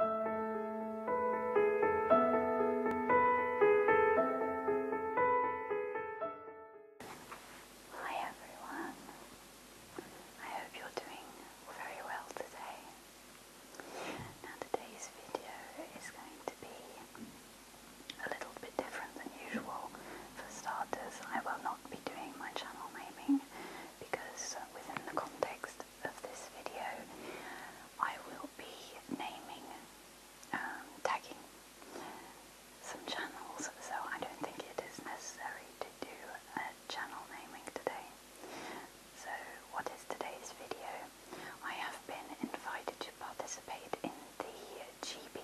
Hi everyone. I hope you're doing very well today. Now today's video is going to be a little bit different than usual. For starters, I will not be doing my channel naming because within the context of this video I will be naming, um, tagging some channels, so I don't think it is necessary to do a channel naming today. So what is today's video? I have been invited to participate in the GB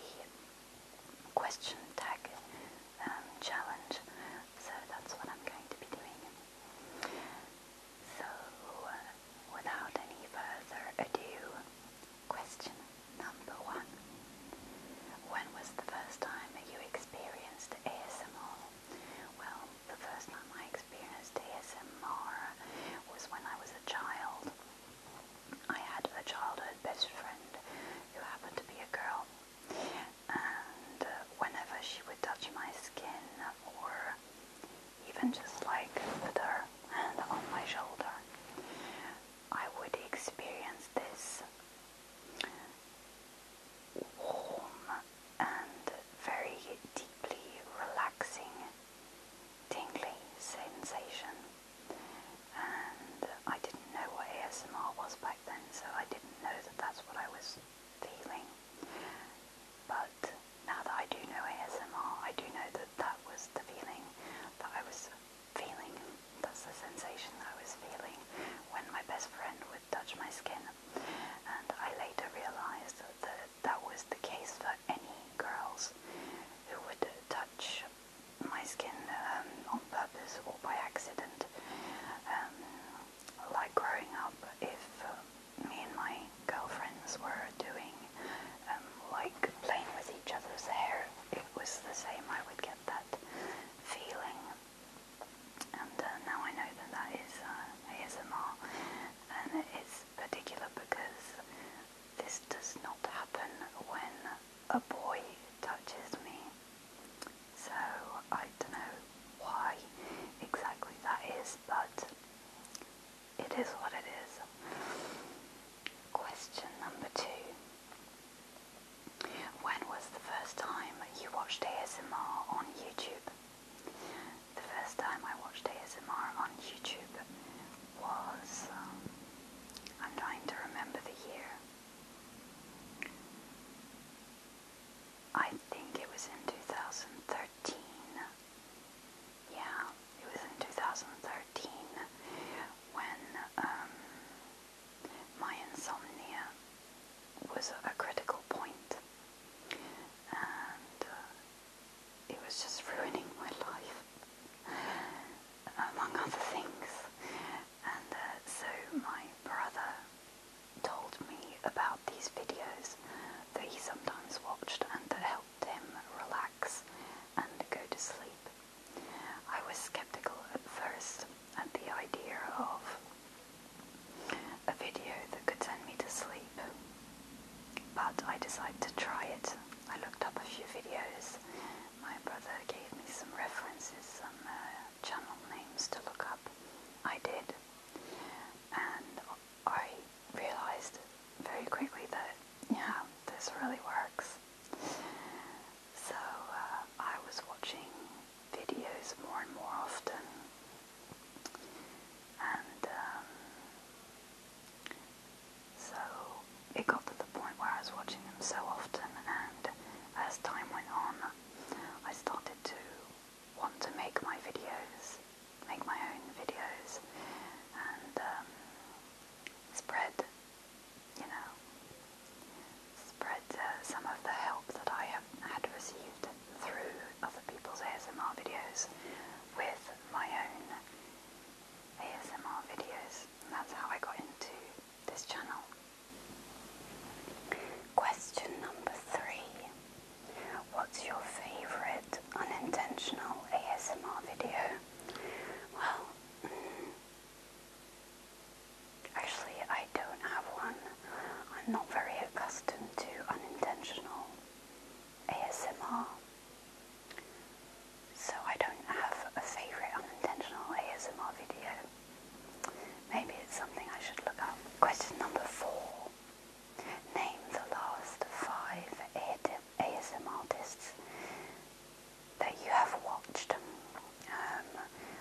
question tag um, challenge. So that's what I'm going to be doing. So, uh, without any further ado, question number one. When was the first time you experienced ASMR? Well, the first time I experienced ASMR was when I was a child. I had a childhood best friend who happened to be a girl, and whenever she would touch my skin or even just like put her hand on my shoulder, I would experience this warm and very deeply relaxing, tingly sensation. And I didn't know what ASMR was back then, so I didn't know that that's what I was feeling. But now that I do know ASMR, I do know that that was the feeling that I was feeling. That's the sensation that I was feeling when my best friend would touch my skin. And I later realized that that was the case for any girls who would touch my skin um, on purpose or by accident. Um, like growing up, if uh, me and my girlfriends were doing um, like playing with each other's hair, it was the same. I would get that feeling, and uh, now I know that that is uh, ASMR, and it's particular because this does not happen when a boy touches me. So I don't know why exactly that is, but it is what it is. Question number two. When was the first time you watched ASMR on YouTube? The first time I watched ASMR on YouTube was, um, I'm trying to remember the year. I think it was in 2013. Yeah, it was in 2013 when um, my insomnia was a critical point and uh, it was just ruining my life among other things and uh, so my brother told me about these videos that he sometimes watched and that helped him relax and go to sleep. I was skeptical at first at the idea of a video that could send me to sleep, but I decided to try it. I looked up a few videos. My brother gave me some references, some uh, channel names to look up. I did, and I realized very quickly that yeah, this really works. So uh, I was watching videos more and more often, and um, so it got to the point where I was watching them so often, and as time went on, I started to want to make my videos, make my own videos, and um, spread, you know, spread uh, some of the help that I have had received through other people's ASMR videos with my own ASMR videos. that's how I got into this channel. Question number three. What's your favourite unintentional ASMR video? Well, mm, actually, I don't have one. I'm not very accustomed to unintentional ASMR. So I don't have a favourite unintentional ASMR video. Maybe it's something I should look up. Question number four. Name the last five ASM artists that you have watched. Um,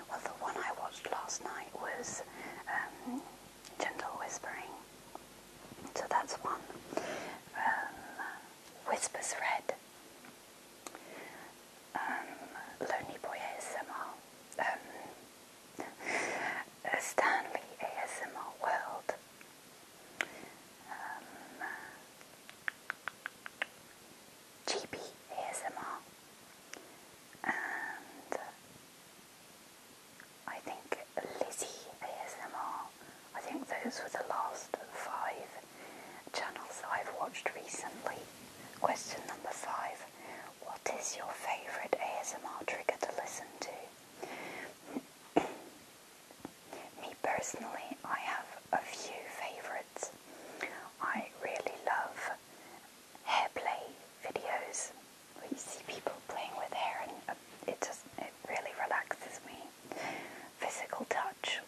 well, the one I watched last night was um, Gentle Whispering. So that's one. Um, Whispers Red. Lonely Boy ASMR. Um, Stanley ASMR World. Um, ASMR and I think Lizzie ASMR. I think those were the last five channels I've watched recently. Question number five what is your favourite ASMR trigger to listen to? Me personally, I have a few favourites. I really love hair play videos where you see people playing with hair and uh, it just it really relaxes me. Physical touch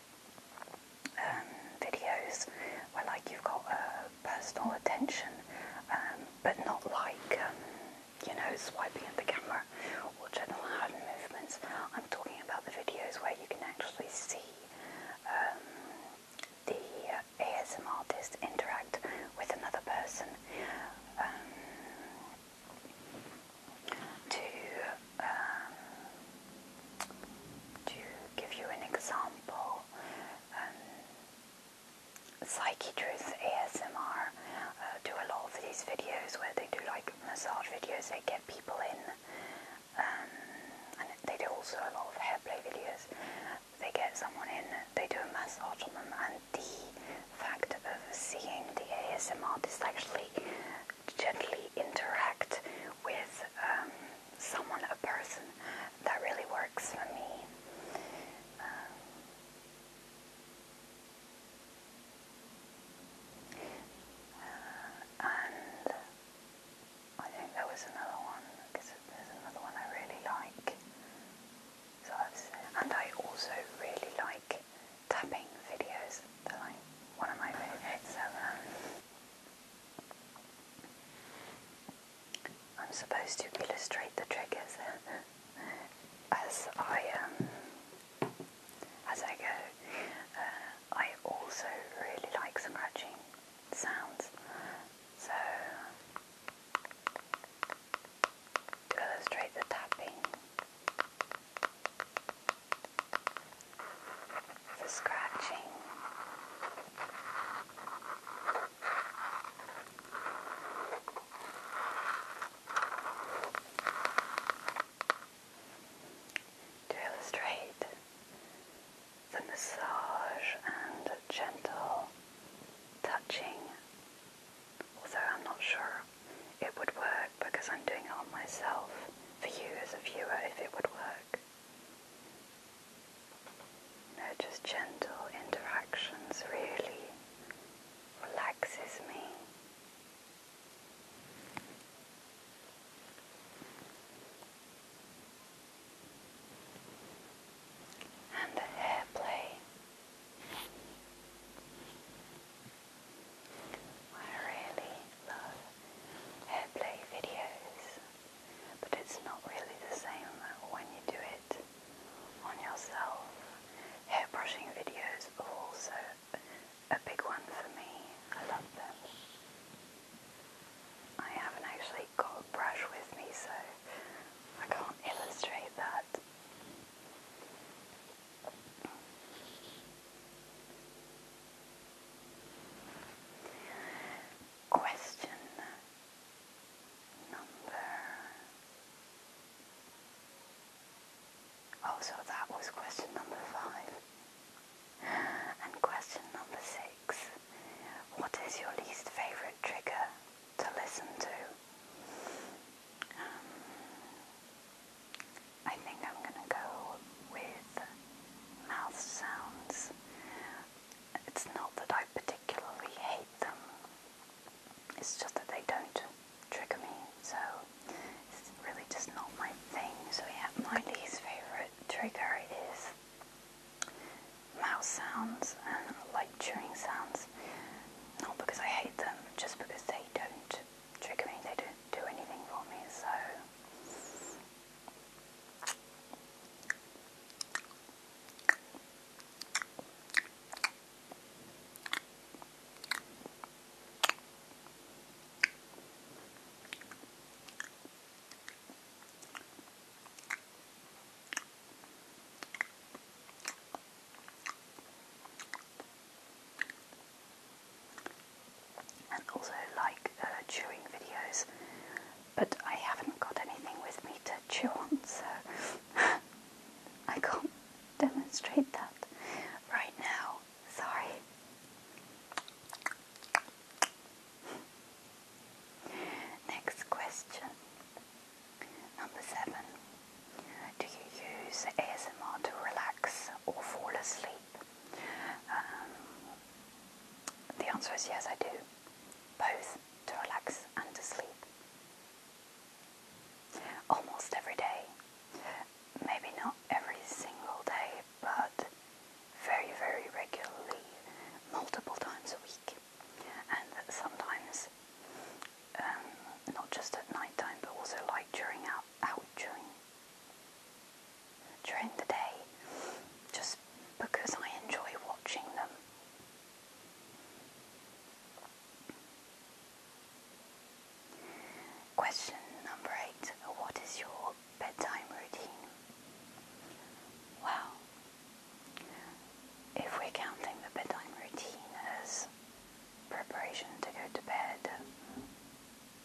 um, videos where like you've got a personal attention, um, but not like, um, you know, swiping at the camera or general hand movements. I'm talking about the videos where you can actually see um, the ASMR artist interact with another person to to give you an example, Psyche Truth ASMR uh, do a lot of these videos where they do like massage videos, they get people in, um, and they do also a lot of hairplay videos. They get someone in, they do a massage on them, and the fact of seeing the ASMR artist actually gently interact with um, someone, a person that really works for me. Uh, and I think there was another one there's another one I really like. and I also really like tapping videos. They're like one of my favorites. So, I'm supposed to illustrate the triggers as I um, as I go. Uh, I also really like scratching sounds, so to illustrate the tapping. The scratching, to illustrate the massage and gentle touching, although I'm not sure it would work because I'm doing it on myself, for you as a viewer, if it would work just gentle interactions really relaxes me. And the hair play, I really love hair play videos. But it's not really the same when you do it on yourself. Hair brushing videos are also a big one for me. I love them. I haven't actually got a brush with me, so I can't illustrate that. Question number. Oh, that was question number five. And question number six. What is your least favorite trigger to listen to? Um, I think I'm going to go with mouth sounds. It's not that I particularly hate them, it's just that they don't trigger me, so it's really just not my thing. So, yeah, my least favourite trigger is mouse sounds and like chewing sounds. Not because I hate them, just because they don't trigger me, they don't do anything for me, so. And also, like uh, chewing videos, but I haven't got anything with me to chew on, so I can't demonstrate that right now. Sorry. Next question. Number seven. Do you use ASMR to relax or fall asleep? Um, the answer is yes, I do. Both to relax and to sleep. Almost every day. Maybe not every single day, but very, very regularly, multiple times a week. And sometimes, um, not just at night time, but also like during out, out during, during the day, just because I enjoy watching them. Question number eight What is your bedtime routine? Well, if we're counting the bedtime routine as preparation to go to bed,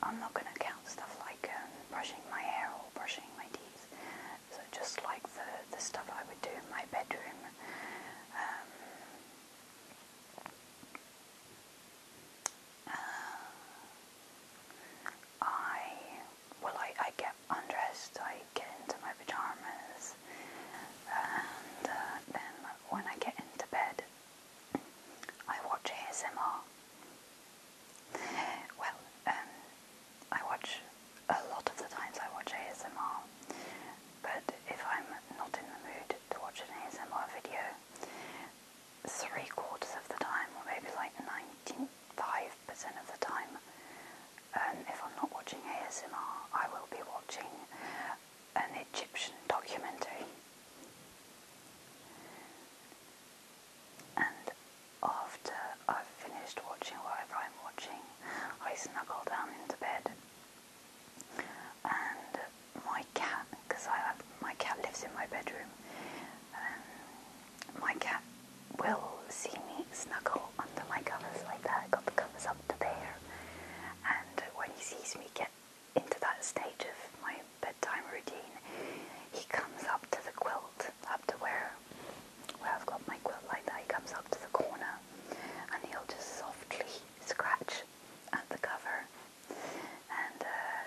I'm not going to count stuff like um, brushing my hair or brushing my teeth so just like the, the stuff I would do in my bedroom. Um, uh, I, well I, I get undressed, I get into my pyjamas and uh, then when I get into bed I watch ASMR. Well, um, I watch a lot of the times I watch ASMR, but if I'm not in the mood to watch an ASMR video, three quarters of the time, or maybe like 95% of the time, um, if I'm not watching ASMR, I will be watching an Egyptian documentary. And after I've finished watching whatever I'm watching, I snuggle down into bed. And my cat, because I have, my cat lives in my bedroom, um, my cat will see me snuggle under my covers like that. I got the covers up to there, and when he sees me get into that stage of my bedtime routine, he comes up to the quilt up to where, where I've got my quilt like that. He comes up to the corner and he'll just softly scratch at the cover. And uh,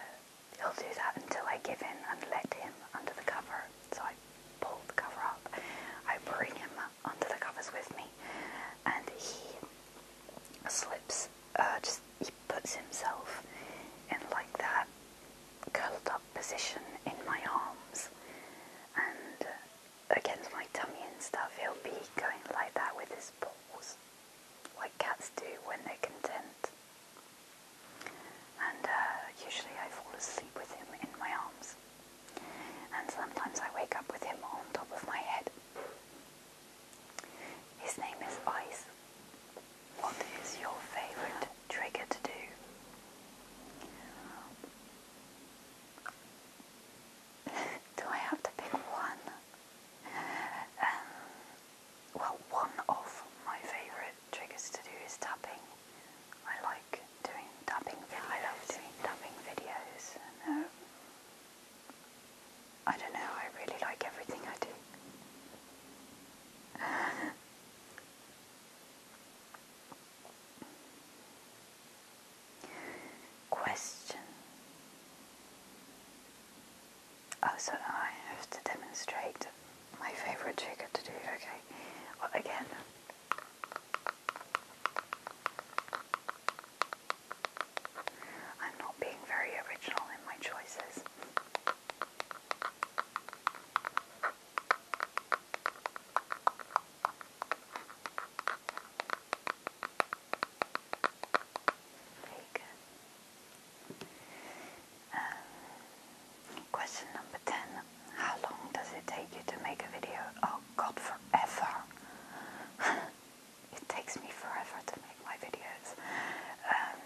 he'll do that until I give in and let him under the cover. So I pull the cover up, I bring him under the covers with me, and he slips, uh, just he puts himself in like that, curled position in my arms and uh, against my tummy and stuff, he'll be going like that with his paws, like cats do when they're content. And uh, usually I fall asleep with him in my arms. And sometimes I wake up with him on top of my head. His name is Ice. What is your favourite trigger to do. do I have to pick one? Um, well, one of my favourite triggers to do is tapping. I like doing tapping I love doing tapping videos. And, um, I don't know, I really like everything I do. Question. Oh, I have to demonstrate my favorite trigger to do. Okay. Well, again. I'm not being very original in my choices. Very um, question number 10. How long does it take you to make a video? Oh god, forever. it takes me forever to make my videos. Um,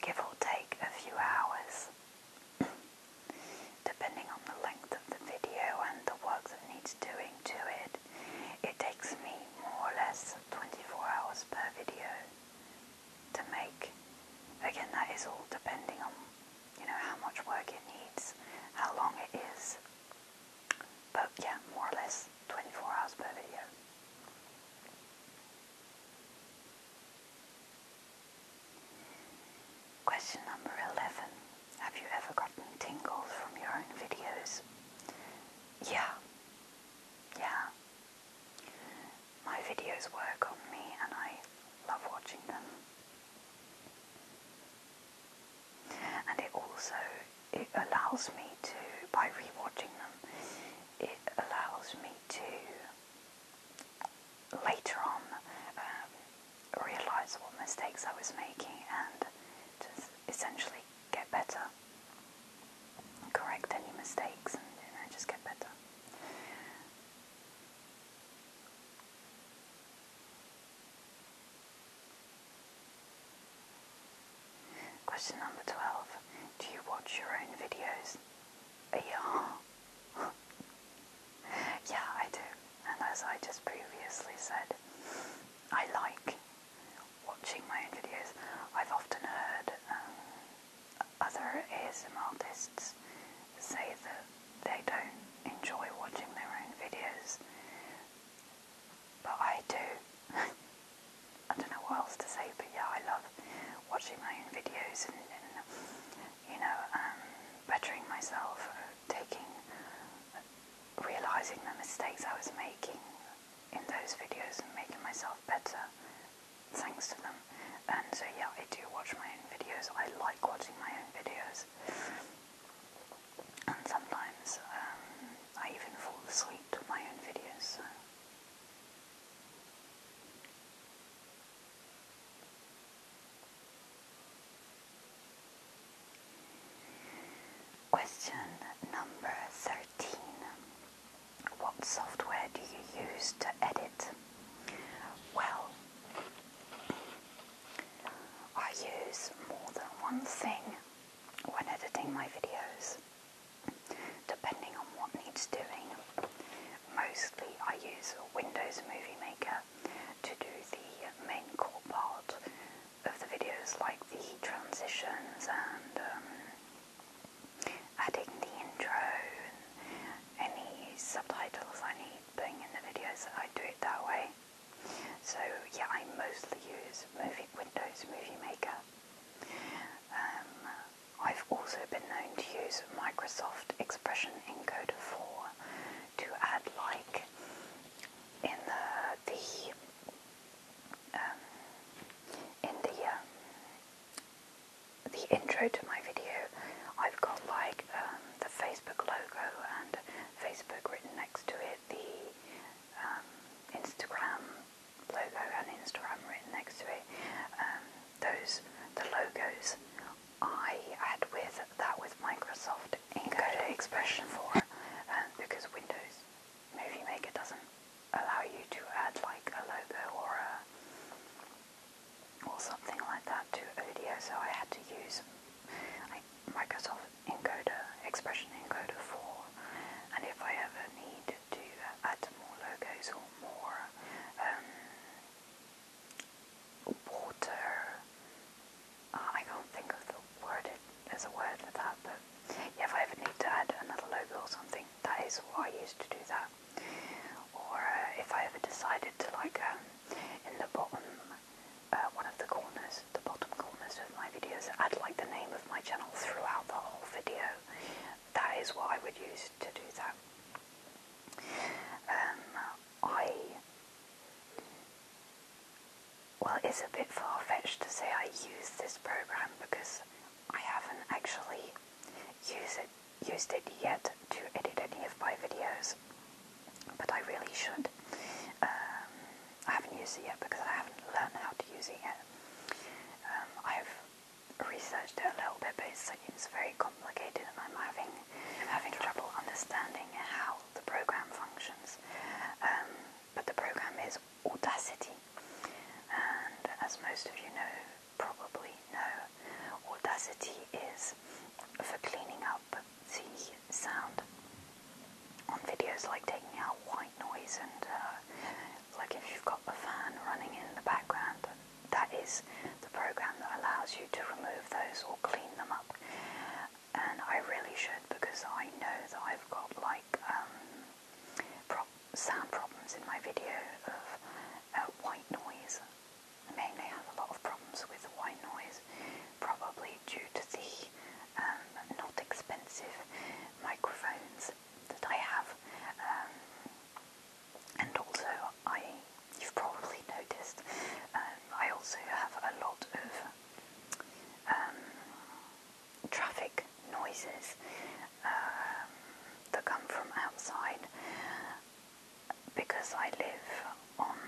give or take a few hours. Depending on the length of the video and the work that needs doing to it, it takes me more or less 24 hours per video to make. Again, that is all depending on you know how much work it needs, how long it is. But yeah, more or less 24 hours per video. Question number 11. Have you ever gotten tingles from your own videos? Yeah. Yeah. My videos work on me and I love watching them. And it also it allows me to by rewatching them, it allows me to later on um, realize what mistakes I was making and just essentially get better, correct any mistakes, and just get better. Question number 12. Do you watch your own videos? Yeah. yeah, I do. And as I just previously said, I like watching my own videos. I've often heard um, other ASM artists say that they don't enjoy watching their own videos, but I do. I don't know what else to say, but yeah, I love watching my own videos and you know, um, bettering myself, taking, realizing the mistakes I was making in those videos and making myself better thanks to them. And so yeah, I do watch my own videos. I like watching my own videos. And sometimes um, I even fall asleep to my own videos. Question number 13. What software do you use to edit? Well, I use more than one thing when editing my videos, depending on what needs doing. Mostly I use Windows Movie Maker to do the main core part of the videos like the transitions and um, adding the intro and any subtitles I need putting in the videos, I do it that way. So yeah, I mostly use Movie Windows Movie Maker. Um, I've also been known to use Microsoft Expression Encoder 4 to add like in the, the um, in the um, the intro to my video, I've got like um, the Facebook logo and Facebook written next to it, the Instagram logo and Instagram written next to it. those the logos I had with that with Microsoft Encoder Expression 4 um, because Windows Movie Maker doesn't allow you to add like a logo or a or something like that to audio so I had to use like, Microsoft Encoder, Expression Encoder 4 and if I ever need to add more logos or more um, water. Uh, I can't think of the word. It, there's a word for that, but if I ever need to add another logo or something, that is what I use to do that. Or uh, if I ever decided to like um, in the bottom, uh, one of the corners, the bottom corners of my videos, add like the name of my channel throughout the whole video. That is what I would use to do that. Um, I. Well, it's a bit far fetched to say I use this program because I haven't actually used it, used it yet to edit any of my videos, but I really should. Um, I haven't used it yet because I haven't learned how to use it yet. Um, I've researched it a little bit, but it's it's very complicated, and I'm having having trouble understanding how the program functions. Um, but the program is Audacity, and as most of you know, probably know, Audacity is for cleaning up the sound on videos, like taking out white noise and uh, like if you've got a fan running in the background that is the program that allows you to remove those or clean them up. And I really should because I know that I've got like um, pro sound problems in my video of uh, white noise. I mainly have a lot of problems with white noise, probably due to the um, not expensive microphones that I have. Um, and also, I you've probably noticed. Um, I also have a lot of um, traffic noises um, that come from outside because I live on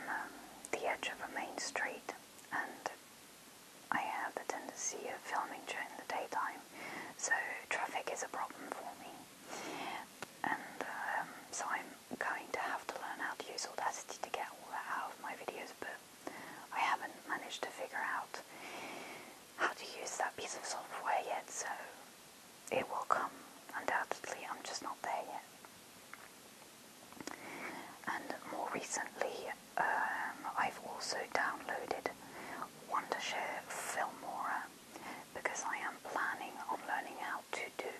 the edge of a main street and I have the tendency of filming during the daytime, so traffic is a problem for me and um, so I'm going to have to learn how to use Audacity to get all that out of my videos but I haven't managed to figure out how to use that piece of software yet so it will come undoubtedly I'm just not there yet and more recently um, I've also downloaded Wondershare Filmora because I am planning on learning how to do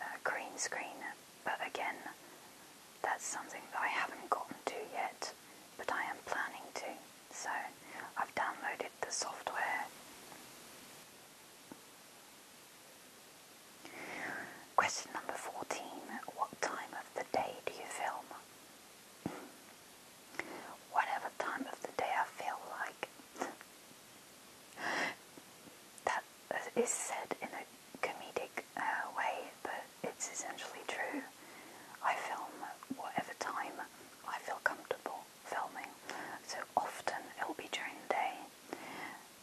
uh, green screen, but again, that's something that I haven't gotten to yet, but I am planning to. So I've downloaded the software. Question number 14 What time of the day do you film? Whatever time of the day I feel like. That is said in a comedic uh, way, but it's essentially true. I film whatever time I feel comfortable filming, so often it'll be during the day.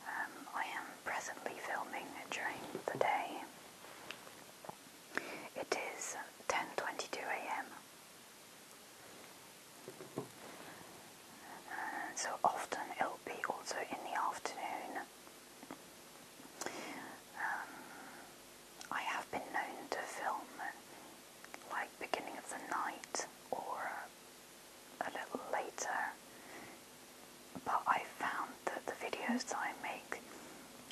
Um, I am presently filming during the day. It is 10:22 a.m so often it'll be also in the afternoon. Um, I have been known to film like beginning of the night or a little later, but I found that the videos that I make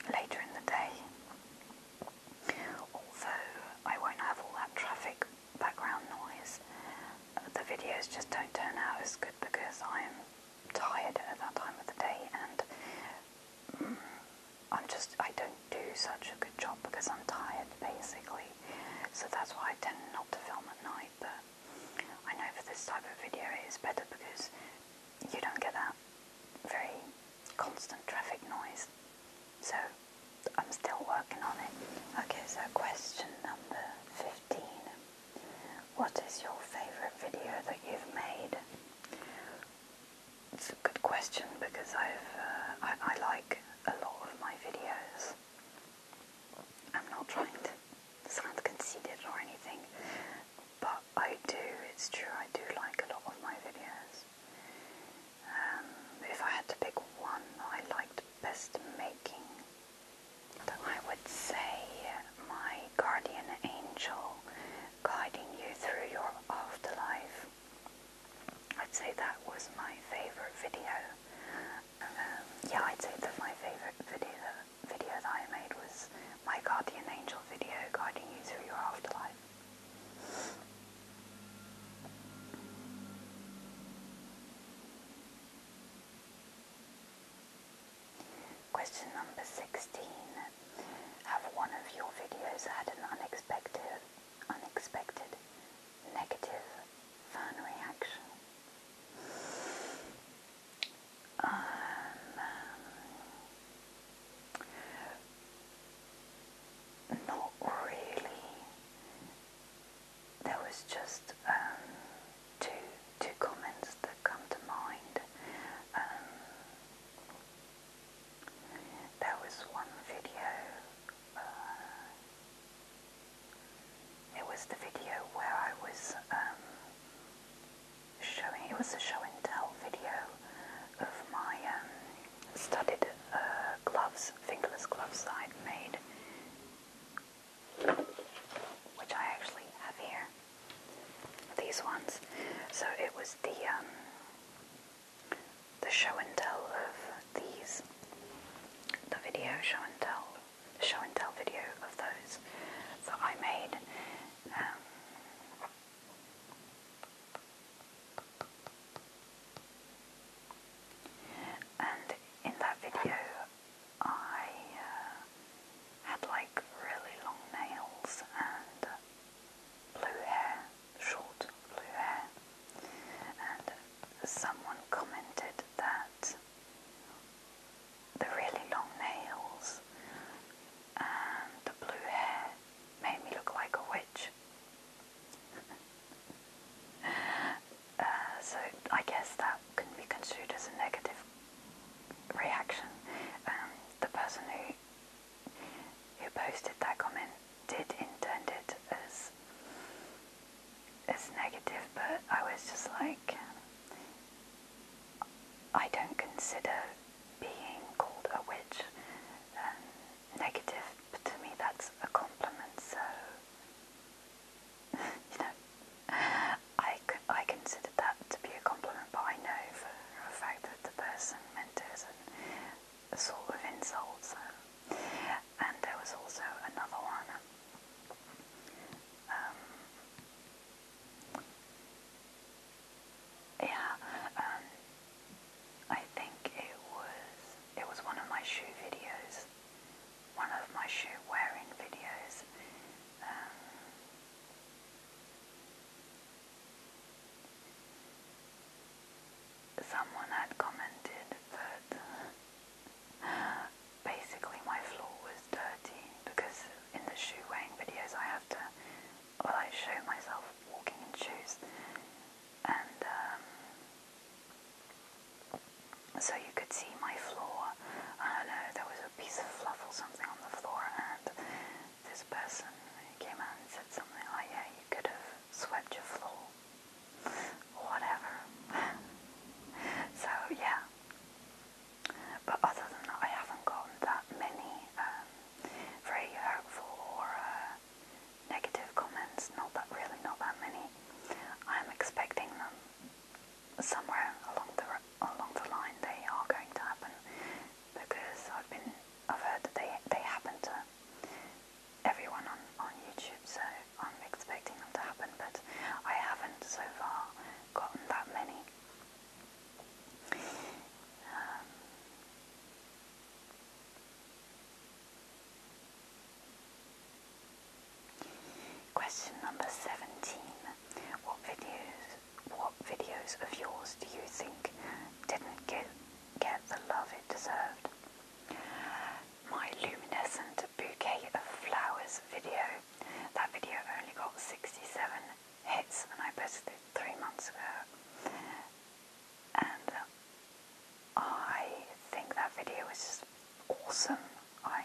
later in the day, although I won't have all that traffic background noise, the videos just don't turn out as good because I'm tired at that time of the day and mm, I'm just, I don't do such a good job because I'm tired basically. So that's why I tend not to film at night, but I know for this type of video it is better because you don't get that very constant traffic noise. So I'm still working on it. Okay, so question number 15. What is your favourite video that you've made? It's a good question because I've uh, I, like a lot of my videos. I'm not trying to sound conceited or anything, but I do. It's true. I do like a lot of my videos. Um, if I had to pick one, I liked best making. I would say my guardian angel guiding you through your afterlife. I'd say that was my favorite video. Um, yeah, I'd say that my favorite video, video that I made was my guardian angel video guiding you through your afterlife. Question number 16. Have one of your videos had an unexpected, unexpected negative fan reaction? Um, not really there was just um, two two comments that come to mind. Um, there was one video. Uh, it was the video where I was um, showing. It was a show and tell video of my um, studded uh, gloves, fingerless gloves I'd made which I actually have here. These ones. So it was the um, the show and tell of these, the video show and tell, the show and tell video of those that I made. Um, and in that video, I uh, had like really long nails and blue hair, short blue hair. And someone commented that the really long nails and the blue hair made me look like a witch. Uh, so I guess that can be construed as a negative reaction. Um, the person who who posted that comment did intend it as as negative, but I was just like, I don't consider being called a witch um, negative. But to me, that's a compliment. So you know, I, I consider that to be a compliment, but I know for a fact that the person mentors and sort of insults her. And there was also another one. Um, yeah, um, I think it was it was one of my shoe videos one of my shoe wearing videos. Um, someone had commented that basically my floor was dirty because in the shoe wearing videos I have to, well I show myself walking in shoes and um, so you could see my floor. I don't know, there was a piece of fluff or something on the floor, and this person came out and said something like, Yeah, you could have swept your floor. Whatever. so, yeah. But other than that, I haven't gotten that many um, very hurtful or uh, negative comments. Not that, really, not that many. I'm expecting them somewhere along the along the line. They are going to happen because I've been I've heard that they they happen to everyone on on YouTube. So I'm expecting them to happen, but I haven't so far gotten that many. Um, Question number 17. What videos what videos of yours do you think didn't get get the love it deserved? My luminescent bouquet of flowers video. That video only got 67 hits and I posted it three months ago. And uh, I think that video is just awesome. I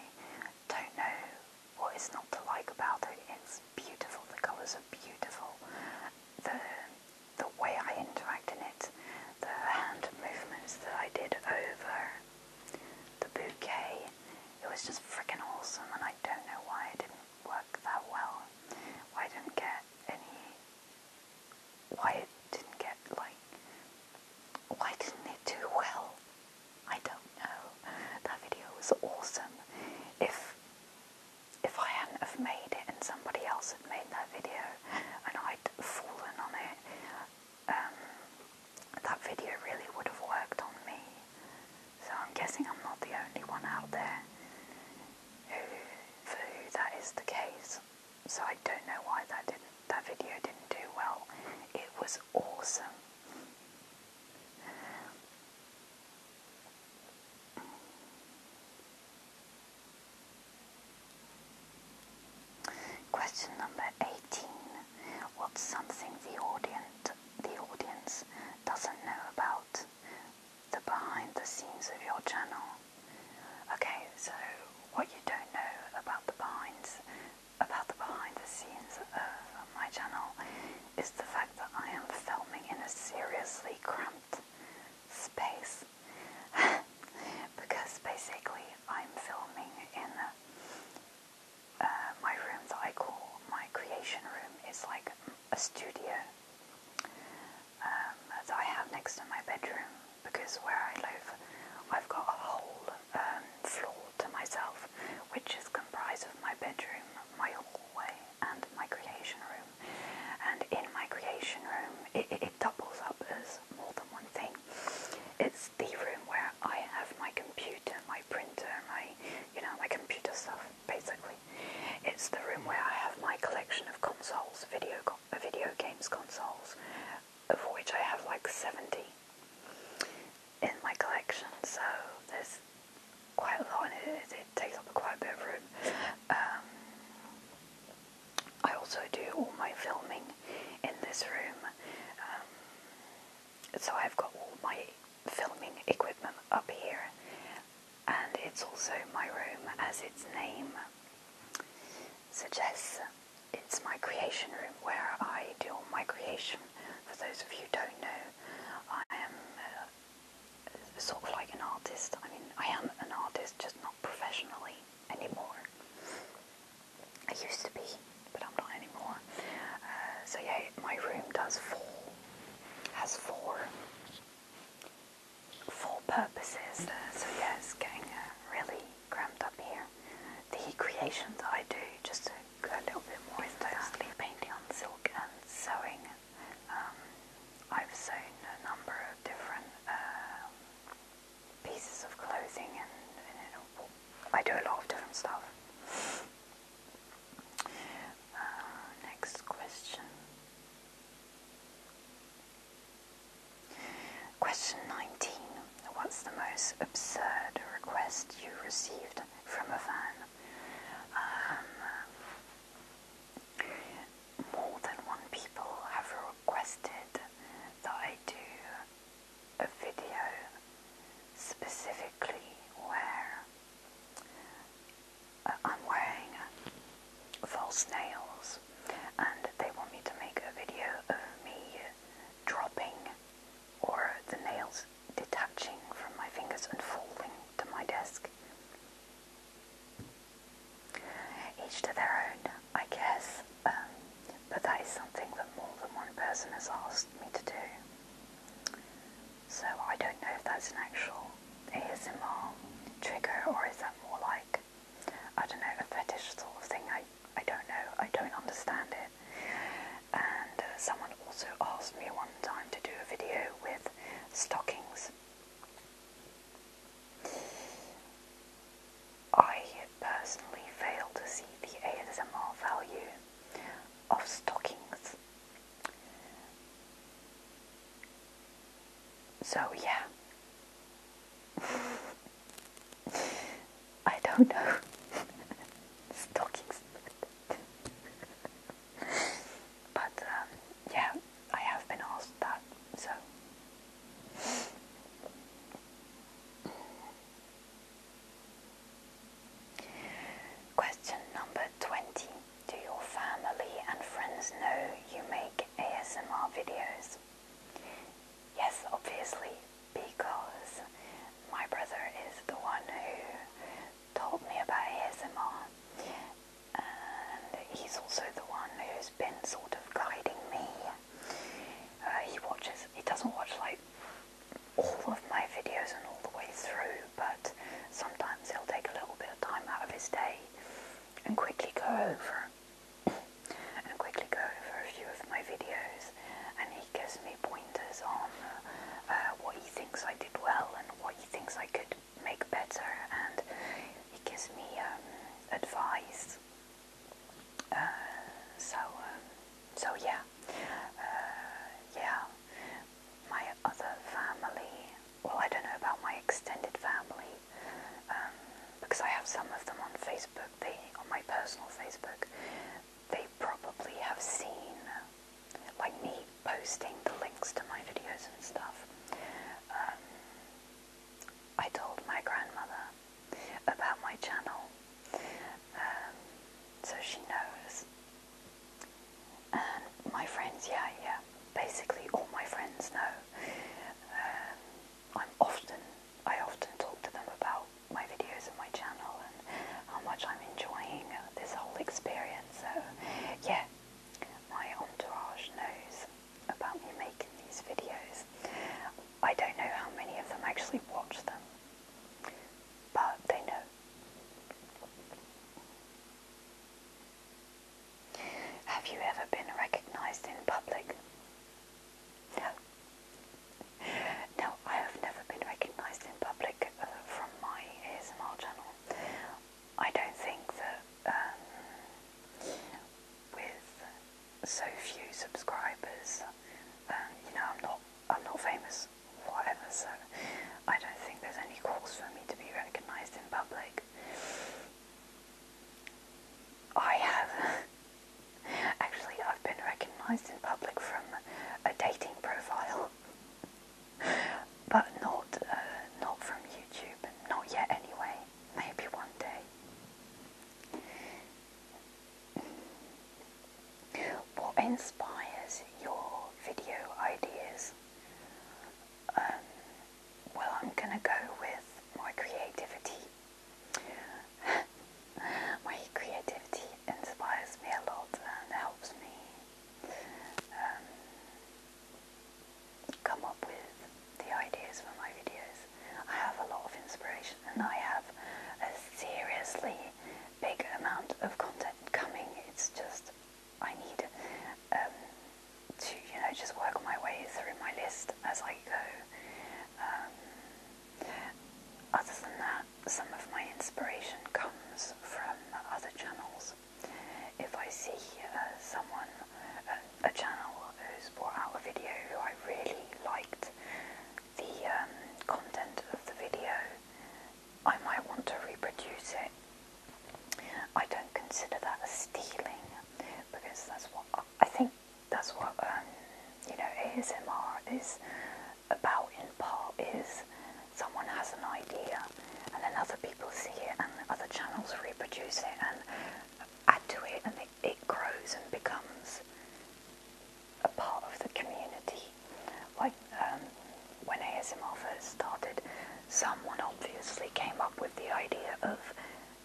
don't know what it's not to like about it. It's beautiful. The colours are beautiful. The the way I interact in it, the hand movements that I did over the bouquet, it was just freaking awesome. And I don't know why it didn't work that well. Why I didn't get any. Why it didn't get like why didn't it do well? I don't know. That video was awesome. If if I hadn't have made it and somebody else had made that video and I'd fallen on it, um, that video really would have worked on me. So I'm guessing I'm not the only one out there who, who that is the case so I don't know why that didn't that video didn't do well. It was awesome. Question number 18. What's something the audience the audience doesn't know about the behind the scenes of your channel? Okay, so what you don't know about the behind about the behind the scenes of my channel is the fact that I am filming in a seriously cramped space because basically I'm filming in uh, my room that I call my creation room. It's like a studio um, that I have next to my bedroom because where I live, I've got a whole um, floor to myself, which is comprised of my bedroom, my hallway, and my creation room. And in my creation room, it, doubles up as more than one thing. It's the room where I have my computer, my printer, my you know my computer stuff basically. It's the room where I have my collection of consoles, video video games consoles, of which I have like 70 in my collection, so there's quite a lot and it, takes up quite a bit of room. Um, I also do all my filming in this room, um, so I've got all my filming equipment up here, and it's also my room as its name suggests. It's my creation room where I do all my creation. For those of you who don't know, I am uh, sort of like an artist. I mean, I am an artist, just not professionally anymore. I used to be, but I'm not anymore. Uh, so yeah, my room does four, has four, for purposes. Uh, so yeah, it's getting uh, really crammed up here. The creation I do, just a little bit more into that, painting on silk and sewing. Um, I've sewn a number of different uh, pieces of clothing and, I do a lot of different stuff. Uh, next question. Question 19. What's the most absurd request you received from a fan? Um, more than one people have requested that I do a video specifically where I'm wearing false nails and they want me to make a video of me dropping or the nails detaching from my fingers and falling to my desk. Each to their own, I guess, um, but that is something that more than one person has asked me to do. So I don't know if that's an actual ASMR trigger or is that more like, I don't know, a fetish sort of thing I I don't know, I don't understand it. And uh, someone also asked me one time to do a video with stockings. I personally fail to see the ASMR value of stockings. So yeah. I don't know. Stockings. but um, yeah, I have been asked that, so. Question number 20. Do your family and friends know you make ASMR videos? Yes, obviously, because my brother is the one who told me about ASMR, and he's also the one who's been sort of guiding me. Uh, he watches, he doesn't watch like all of my videos and all the way through, but sometimes he'll take a little bit of time out of his day and quickly go over and quickly go over a few of my videos and he gives me pointers on uh, what he thinks I did well and what he thinks I could make better and he gives me um, advice. Uh, so, um, so yeah, uh, yeah, my other family, well I don't know about my extended family um, because I have some of them on Facebook they on my personal Facebook, they probably have seen like me posting the links to my videos and stuff. Um, I told my grandmother about my channel, um, so she knows. And my friends, yeah, yeah, basically all my friends know. Um, I'm often, I often talk to them about my videos and my channel and how much I'm enjoying this whole experience. So, yeah, my entourage knows about me making these videos. I don't know how many of them actually watch them, but they know. Have you ever been recognised in public? No. No, I have never been recognised in public uh, from my ASMR channel. I don't think that um, with so few subscribers, um, you know, I'm not, I'm not famous, whatever. So I don't think there's any cause for me to be recognised in public. I have Actually, I've been recognised in public from a dating profile, but not uh, not from YouTube, not yet. Anyway, maybe one day. What inspires your video ideas? Um, well, I'm gonna go with my creativity My creativity inspires me a lot and helps me um, come up with the ideas for my videos. I have a lot of inspiration and I have a seriously big amount of content coming. It's just I need um, to, you know, just work my way through my list as I go. Um, other than that, some of my inspiration comes from other channels. If I see uh, someone, uh, a channel who's brought out a video who I really liked the um, content of the video, I might want to reproduce it. I don't consider that stealing because that's what I think that's what um, you know ASMR is about in part is someone has an idea and then other people see it and other channels reproduce it and add to it and it, grows and becomes a part of the community. Like um, when ASMR first started, someone obviously came up with the idea of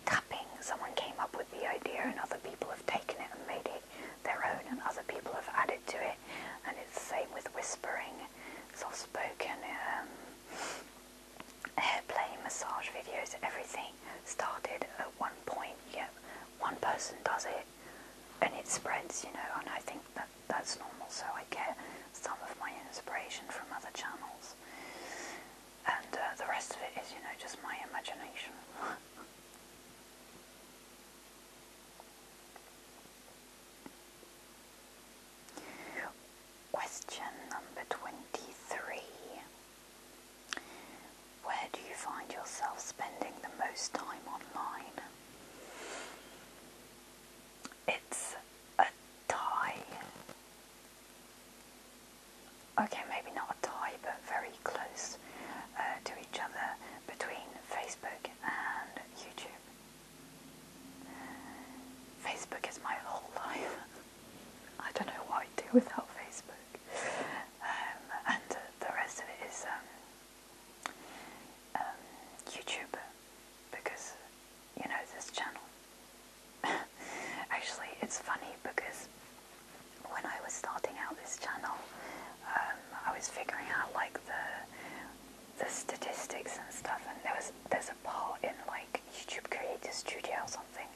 tapping. Someone came up with the idea and other people have taken it and made it their own and other people have added to it. And it's the same with whispering, soft-spoken, um, hair play, massage videos, everything started at one point. You one person does it and it spreads, you know, and I think that that's normal. So I get some of my inspiration from other channels. And uh, the rest of it is, you know, just my imagination. Question number 23. Where do you find yourself spending the most time online? It's a tie okay, maybe not a tie, but very close uh, to each other between Facebook and YouTube. Facebook is my whole life. I don't know what I'd do without Facebook. Um, and the rest of it is um, um, YouTube, because, you know, this channel. Actually, it's funny because when I was starting out this channel, um, I was figuring out like the the statistics and stuff, and there was there's a part in like YouTube Creator Studio or something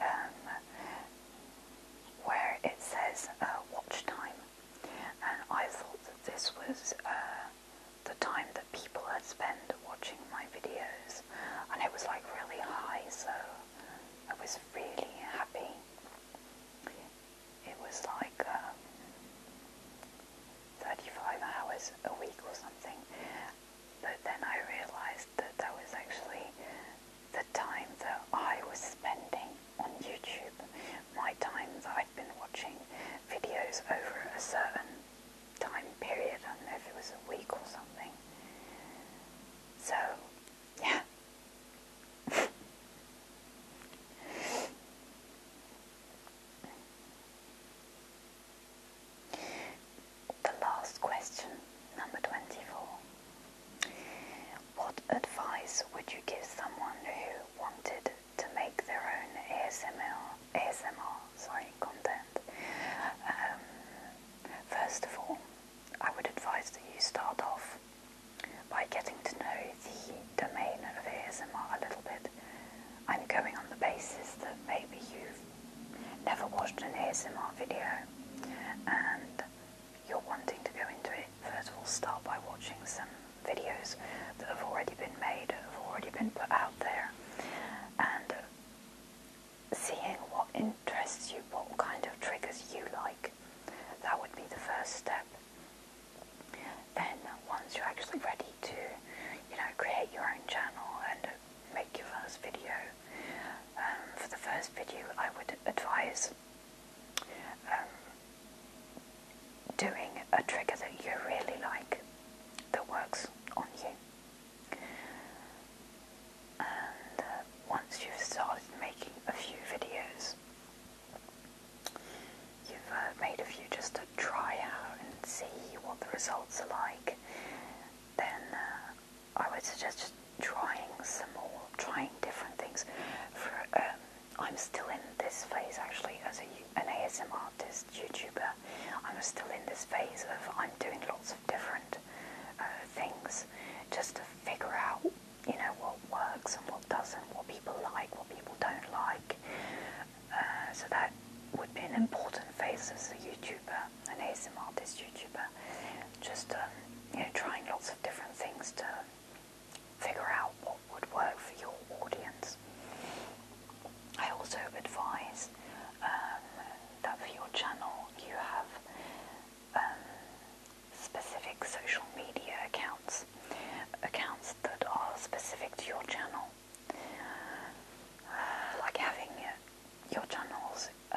um, where it says uh, watch time, and I thought that this was uh, the time that people had spent watching my videos, and it was like really high, so I was really happy it was like um, 35 hours a week or something. But then I realized that that was actually the time that I was spending on YouTube, my time that I'd been watching videos over a certain time period, I don't know if it was a week or something. So yeah. the last question, number 24. What advice would you give someone who wanted to make their own ASMR, ASMR sorry, content? Um, first of all, I would advise that you start off by getting to know the domain of ASMR a little bit. I'm going on the basis that maybe you've never watched an ASMR video and you're wanting to go into it. First of all, start by watching some videos that have already been made, have already been put out there, and seeing what in Dress you, what kind of triggers you like. That would be the first step. Then, once you're actually ready to, you know, create your own channel and make your first video, um, for the first video, I would advise um, doing a trigger that you really like that works on you and uh, once you've started making a few videos, you've uh, made a few just to try out and see what the results are like, then uh, I would suggest just trying some more, trying different things. Um, I'm still in this phase actually as an ASM artist, YouTuber. I'm still in this phase of I'm doing lots of different things just to figure out you know, what works and what doesn't, what people like, what people don't like. Uh, so that would be an important phase as a YouTuber, an ASMR artist YouTuber, just um, you know, trying lots of different things to figure out what would work for your audience. I also advise um, that for your channel you have um, specific social media accounts, accounts that are specific to your channel, uh, like having uh, your channel's uh,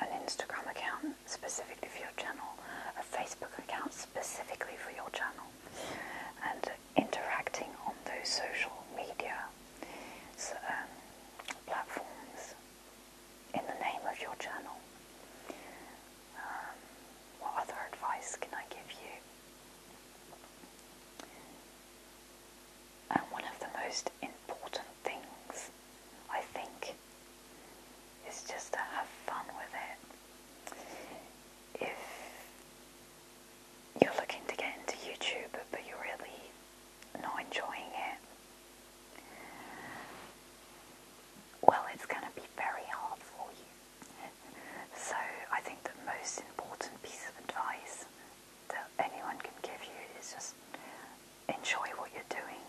an Instagram account specifically for your channel, a Facebook account specifically for your channel, and interacting on those social media um, platforms in the name of your channel. Um, what other advice can I give you? And one of the most important things, I think, is just to have fun with it. If you're looking to get into YouTube but you're really not enjoying it, well, it's going to be very hard for you. So, I think the most important piece of advice that anyone can give you is just enjoy what you're doing.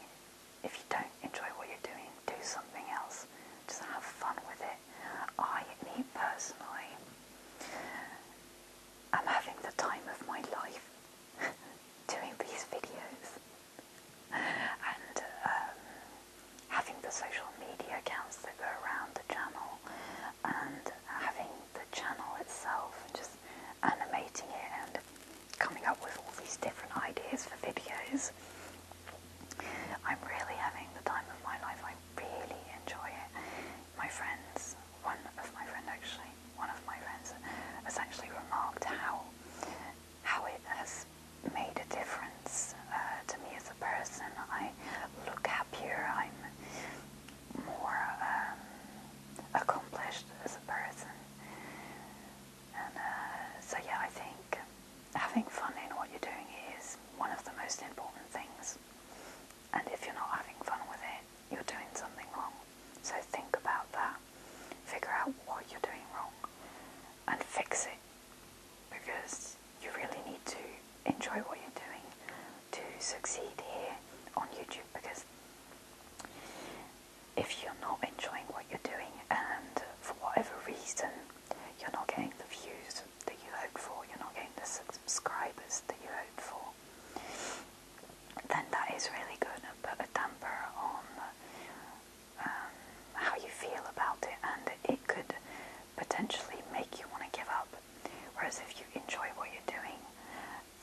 If you don't enjoy what you're doing, do something else. Just have fun with it. I, me personally, i am having the time of my life doing these videos and um, having the social media accounts that go around the channel and having the channel itself and just animating it and coming up with all these different ideas for videos. I'm really having the time of my life. I really enjoy it. My friends, one of my friends actually, one of my friends has actually remarked how how it has made a difference uh, to me as a person. I look happier, I'm more um, accomplished as a person. Uh, so, yeah, I think having fun in what you're doing is one of the most important things. And if you're not having fun with it, you're doing something wrong. So, think about that figure out what you're doing wrong and fix it because you really need to enjoy what you're doing to succeed here on YouTube because if you're not enjoying what you're doing and for whatever reason you're not getting the views that you hoped for, you're not getting the subscribers that you hoped for, then that is really going to put a damper on how you feel about it, and it could potentially make you want to give up. Whereas if you enjoy what you're doing,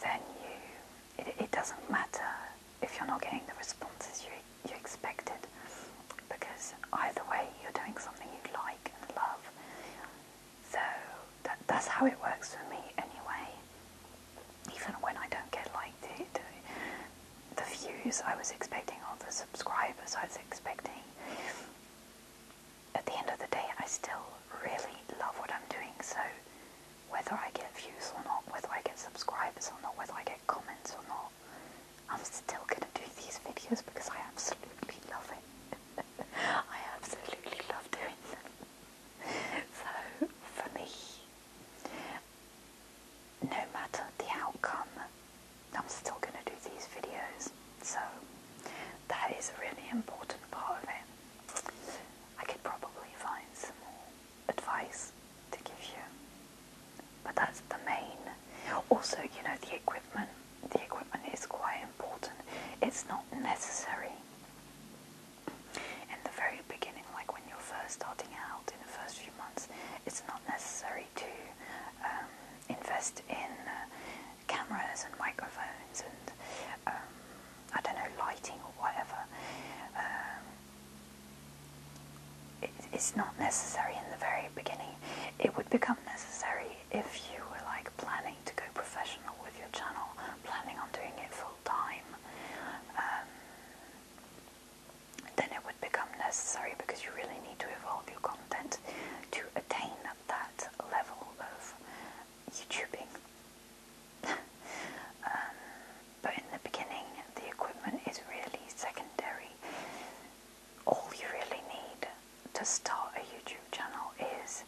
then you it, doesn't matter if you're not getting the responses you you expected, because either way you're doing something you like and love. So that's how it works for me, anyway even when I don't get liked the, the, views I was expecting or the subscribers I was expecting, at the end of the day I still really love what I'm doing so whether I get views or not, whether I get subscribers or not, whether I get comments or not, I'm still going to do these videos because I absolutely love it. I absolutely love doing them. so for me, no matter the outcome, I'm still going to do these videos. So that is a really important part of it. I could probably find some more advice to give you, but that's the main. Also, you know, the equipment. The equipment is quite important. It's not necessary in the very beginning, like when you're first starting out in the first few months, it's not necessary to um, invest in uh, cameras and microphones and um, I don't know lighting or whatever. Um, it's not necessary in the very beginning. It would become necessary if you were like planning to go professional with your channel, planning on doing it full time then it would become necessary because you really need to evolve your content to attain that level of YouTubing. Um, but in the beginning, the equipment is really secondary. All you really need to start a YouTube channel is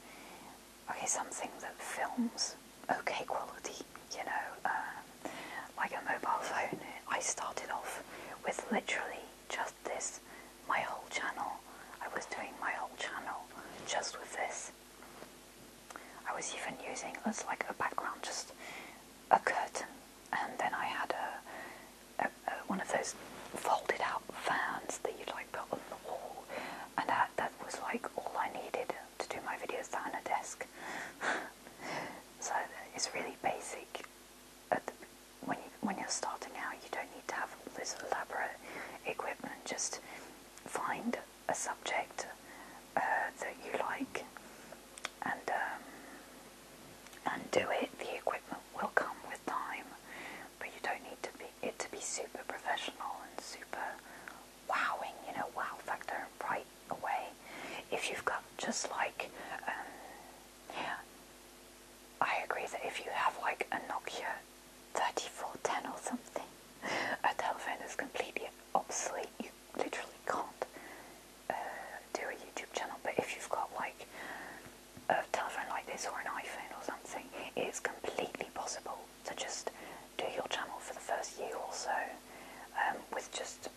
okay, something that films okay quality, you know, uh, like a mobile phone. I started off with literally just this, my whole channel. I was doing my whole channel just with this. I was even using as like a background, just a curtain, and then I had a, one of those folded out fans that you'd like put on the wall, and that that was like all I needed to do my videos down a desk. So it's really basic. when you when you're starting out, you don't need to have all this elaborate equipment. Just find a subject uh, that you like, and um, and do it. The equipment will come with time, but you don't need to be it to be super professional and super wowing. You know, wow factor, right? away. If you've got just like, um, I agree that if you have like a Nokia 3410 or something, a telephone is completely obsolete, you literally can't uh, do a YouTube channel. But if you've got like a telephone like this or an iPhone or something, it's completely possible to just do your channel for the first year or so um, with just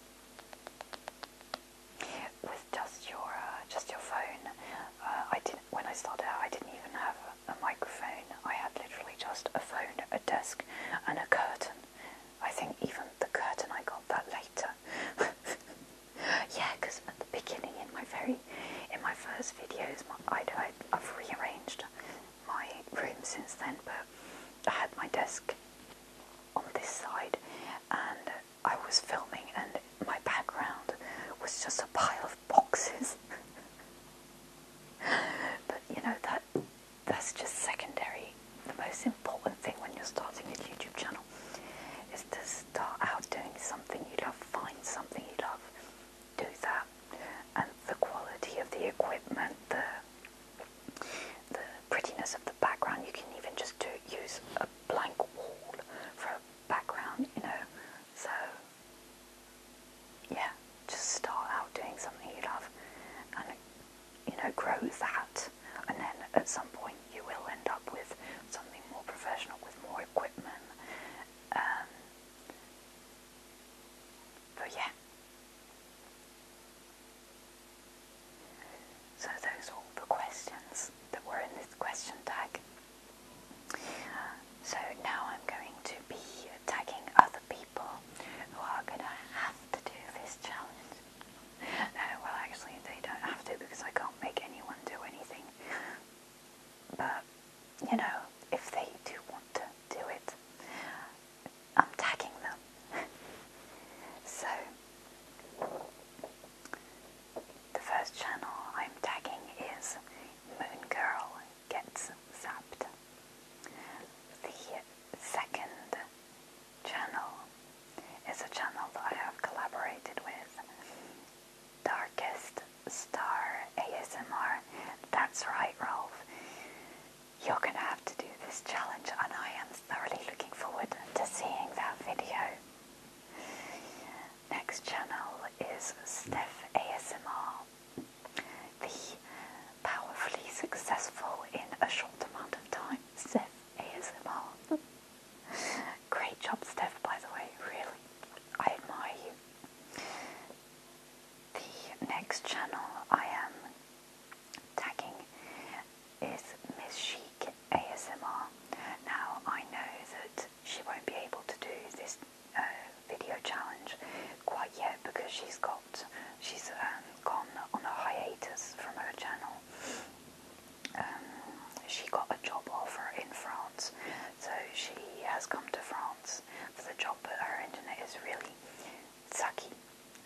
with just your uh, just your phone, uh, I didn't. When I started out, I didn't even have a microphone. I had literally just a phone, a desk, and a curtain. I think even the curtain I got that later. yeah, because at the beginning, in my very, in my first videos, I, I've rearranged my room since then, but I had my desk on this side, and I was filming, and my background was just a pile of boxes. but you know that that's just secondary. The most important thing when you're starting a YouTube channel is to start out doing something you love, find something you love, do that, and the quality of the equipment, the the prettiness of the the background. You can even just do, use a blank wall for a background, you know. So, yeah, just start out doing something you love and, you know, grow that. And then at some point, you will end up with something more professional with more equipment. Um, but yeah, so those are all the questions that were in this question tag. So now I'm going to be tagging other people who are going to have to do this challenge. No, well actually they don't have to because I can't make anyone do anything. But, you know, if they do want to do it, I'm tagging them. so, the first channel I'm tagging is Moon Girl Gets Zapped. The second channel is a channel that I have collaborated with, Darkest Star ASMR. That's right, Rolf. You're going to have to do this challenge and I am thoroughly looking forward to seeing that video. Next channel is Steph ASMR, the powerfully successful in a short amount of time Steph ASMR. Great job Steph by the way, really, I admire you. The next channel I am tagging is Miss Chic ASMR. Now I know that she won't be able to do this uh, video challenge quite yet because she's got she's um, gone on a hiatus from her channel. Um, she got a job offer in France, so she has come to France for the job, but her internet is really sucky.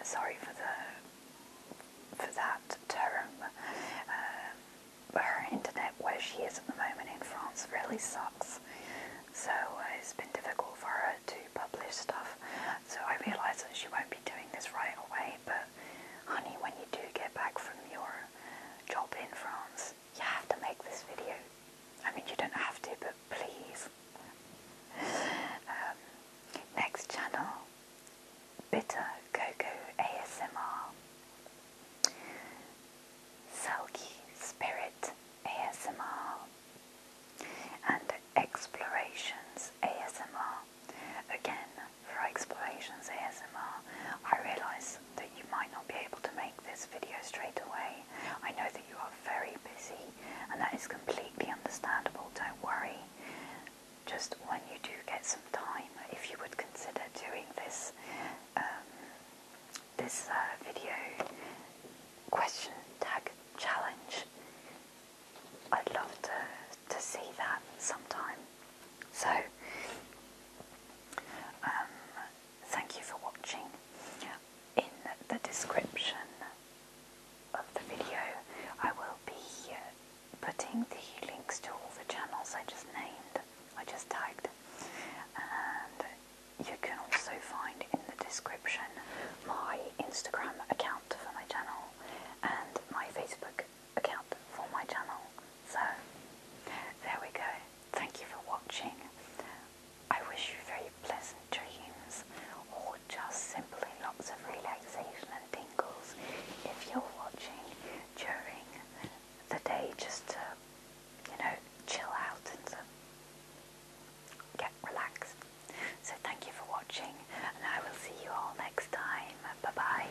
Sorry for the for that term. Um, her internet, where she is at the moment in France, really sucks. So uh, it's been difficult for her to publish stuff. So I realise that she won't be doing this right away. But honey, when you do get back from your job in France, you have to make this video. I mean, you don't have to, but please. Um, next channel Bitter Cocoa ASMR, Selkie Spirit ASMR, and Explorations ASMR. Again, for Explorations ASMR, I realise that you might not be able to make this video straight away. I know that you are very busy, and that is completely understandable, don't worry just when you do get some time, if you would consider doing this um, this uh, video question tag challenge. I'd love to, to see that sometime. So, um, thank you for watching. In the description of the video, I will be uh, putting the links to all the channels I just named, I just tagged, you can also find in the description my Instagram account for my channel and my Facebook account for my channel. So, there we go. Thank you for watching. I wish you very pleasant dreams or just simply lots of relaxation and tingles if you're watching during the day just to, you know, chill out and get relaxed. So thank you for watching and I will see you all next time. Bye bye.